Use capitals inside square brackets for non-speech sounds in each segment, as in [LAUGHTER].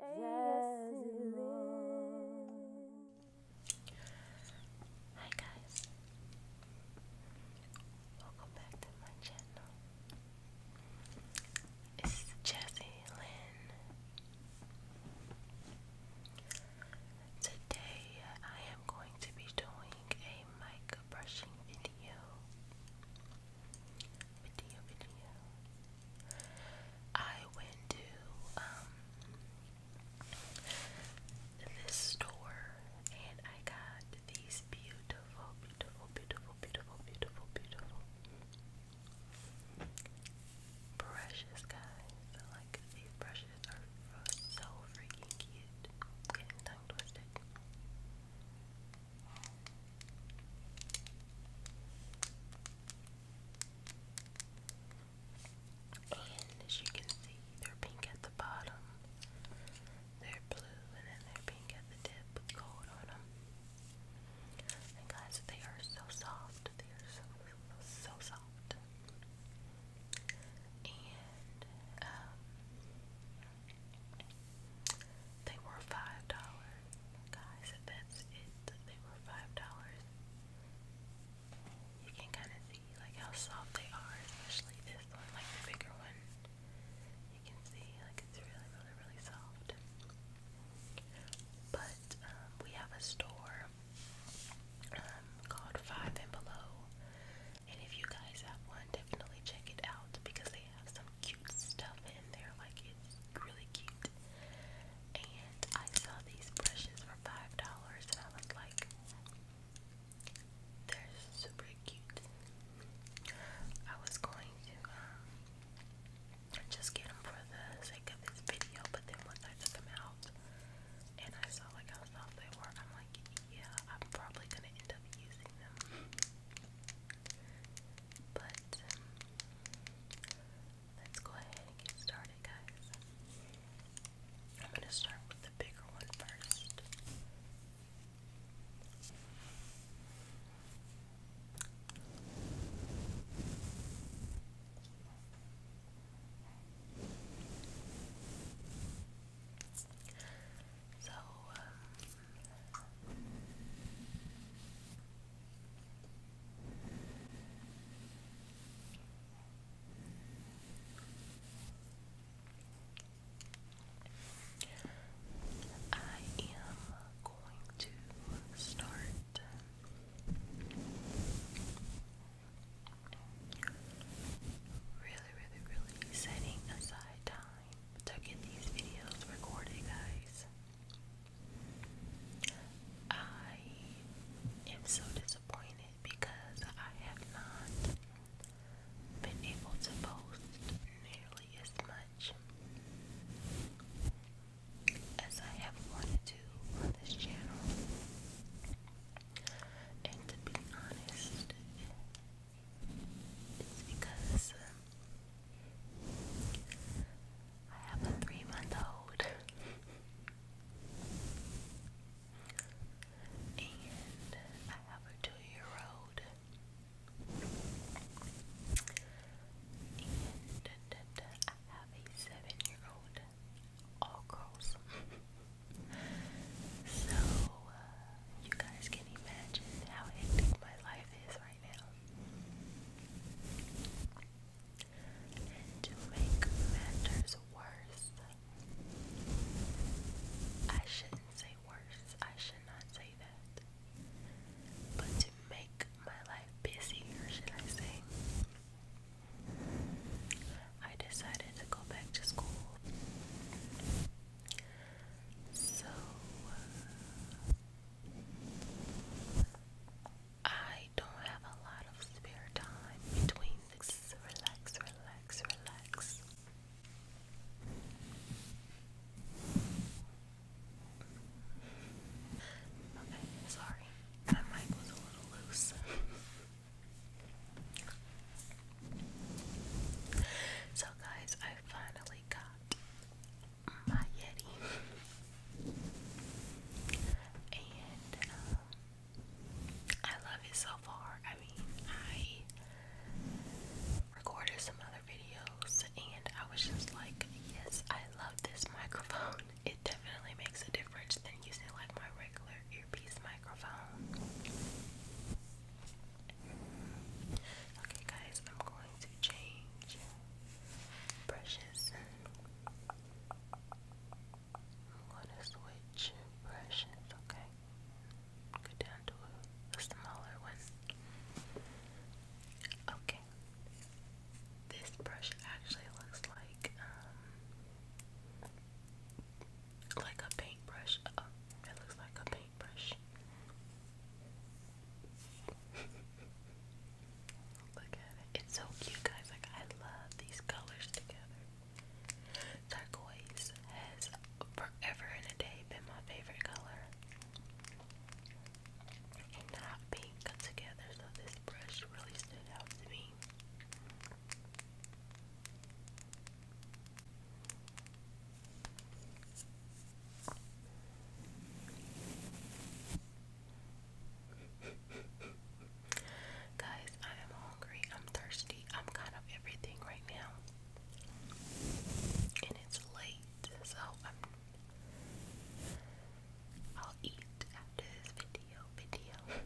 Hi guys, welcome back to my channel. It's Jazzy Lynn. Today I am going to be doing a mic brushing video video video. I went to um, this store and I got these beautiful, beautiful, beautiful, beautiful, beautiful, beautiful brushes, guys. Like these brushes are so freaking cute. Getting tongue twisted. And as you can see, they're pink at the bottom, they're blue, and then they're pink at the tip with gold on them. And guys, they are so soft. They are so, so soft. And, um, they were five dollars, guys. That's it. They were five dollars. You can kind of see like how soft they are, especially this one, like the bigger one. You can see like it's really, really, really soft. But um, we have a store um, called Five and Below, and if you guys have one, definitely check it out because they have some cute cute stuff in there, like it's really cute. And I saw these brushes for five dollars, and I was like, they're super cute. I was going to um, just get them for the sake of this video, but then once I took them out and I saw like how soft they were, I'm like, yeah, I'm probably gonna end up using them. But um, let's go ahead and get started, guys. I'm gonna start with the bigger one first. So, um, I am going to start really, really, really setting aside time to get these videos recorded, guys. I am so disappointed because I have not been able to post nearly as much as I have wanted to on this channel. And to be honest, it's because uh, I have a three month old. and I have a two year old. And uh, uh, I have a seven year old. All girls. [LAUGHS] So, uh, you guys can imagine how hectic my life is right now. And to make matters worse, I shouldn't say worse, I should not say that. But to make my life busy, should I say, I decided to go back to school. So uh, I don't have a lot of spare time between this. Relax, relax, relax. Okay, sorry. My mic was a little loose. [LAUGHS] So, guys, I finally got my Yeti, and um, I love it so far. I mean, I recorded some other videos, and I was just like, Yes, I love this microphone, [LAUGHS] it definitely makes a difference than using like my regular earpiece microphone. Okay, guys, I'm going to change brushes. I'm going to switch brushes, okay? down to a, smaller one. Okay. This brush actually looks like um, like a paintbrush. it uh, looks like a paintbrush. [LAUGHS] Look at it. It's so cute, guys. Like, I love these colors together. Turquoise has forever and a day been my favorite color. And not pink together, so this brush really stood out to me. Guys, I am hungry. I'm thirsty. I'm kind of everything right now. And it's late, so I'll eat after this video. Video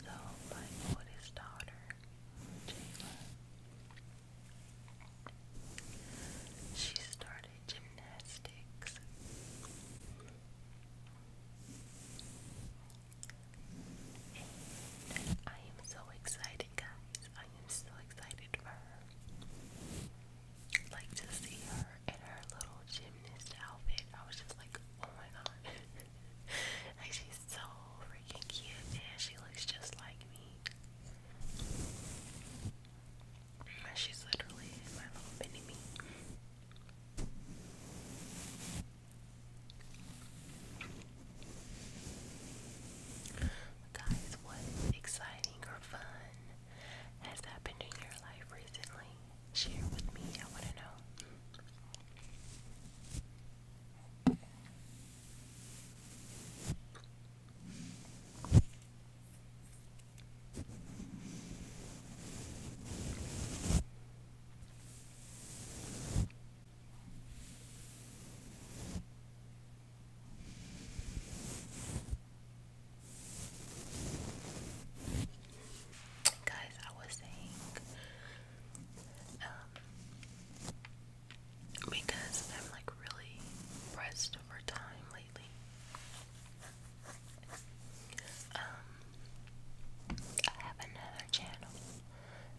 so my oldest daughter, Jayla, she started gymnastics. I am so excited, guys. I am so excited for her. Like to see her in her little gymnast outfit. I was just like, oh my god. [LAUGHS] like, she's so freaking cute, and she looks just like me. She's literally my little mini Guys, what exciting or fun has happened in your life recently? Share with me, I want to know. Guys, I was saying, um, because I'm like really pressed for time lately. Um, I have another channel,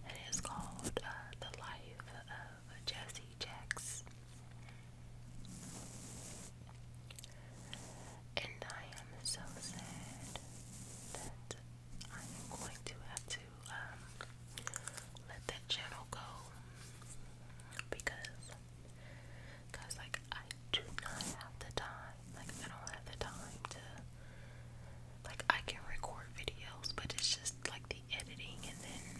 and it's called uh, The Life of Jesse Jacks. And I am so sad that I'm going to have to um, let that channel go because, cause like I do not have the time. Like I don't have the time to. Like I can record videos, but it's just like the editing and then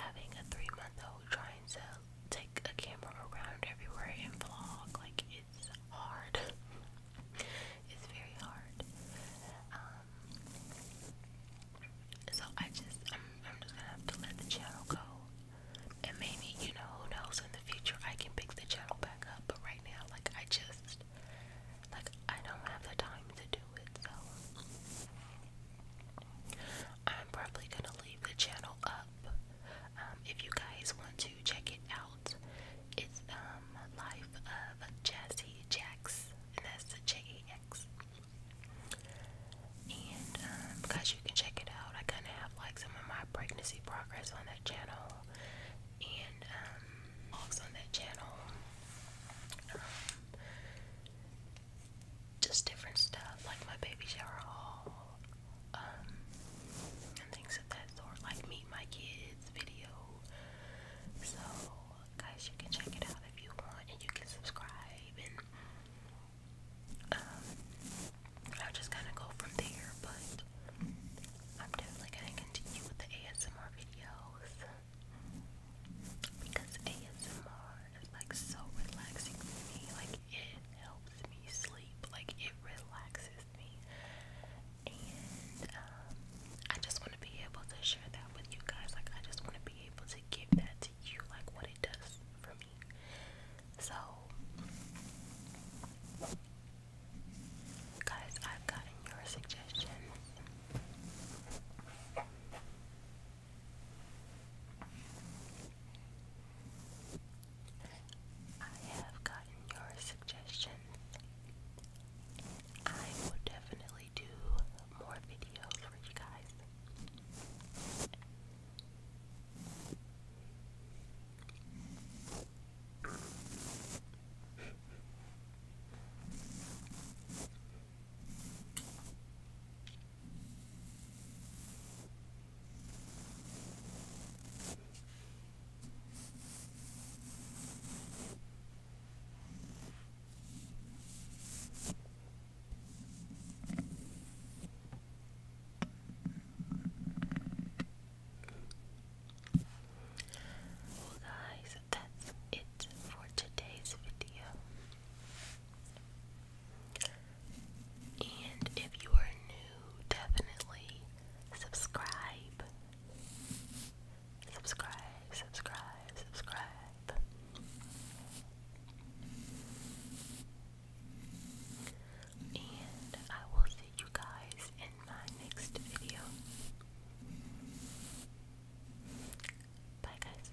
having a three-month-old trying to take a camera around everywhere and vlog. Like it's hard. [LAUGHS] it's very hard. Um, so I just, I'm, just gonna have to let the channel go. And maybe, you know, who knows, in the future I can pick the channel back up. But right now, like, I just, like, I don't have the time to do it. So I'm probably gonna leave the channel up. Um, if you guys want to check it out, it's um, life. Uh, Jazzy Jax, and that's the J A X. And um, you can check it out, I kind of have like some of my pregnancy progress on that channel, and vlogs um, on that channel, um, just different stuff like my baby shower haul, um, and things of that sort, like meet my kids video. So guys, you can check it out if you want, and you can subscribe, and um, I'll just kind of go from there. But I'm definitely gonna continue with the ASMR videos because ASMR is like so relaxing for me. Like it helps me sleep. Like it relaxes me, and um, I just want to be able to share that with you guys. Like, I just want to be able to give that to you, like what it does for me. So, guys, I've gotten your suggestions. I have gotten your suggestions I will definitely do more videos for you guys. Well, guys, that's it for today's video. And if you are new, definitely subscribe Subscribe, subscribe, subscribe. And I will see you guys in my next video. Bye, guys.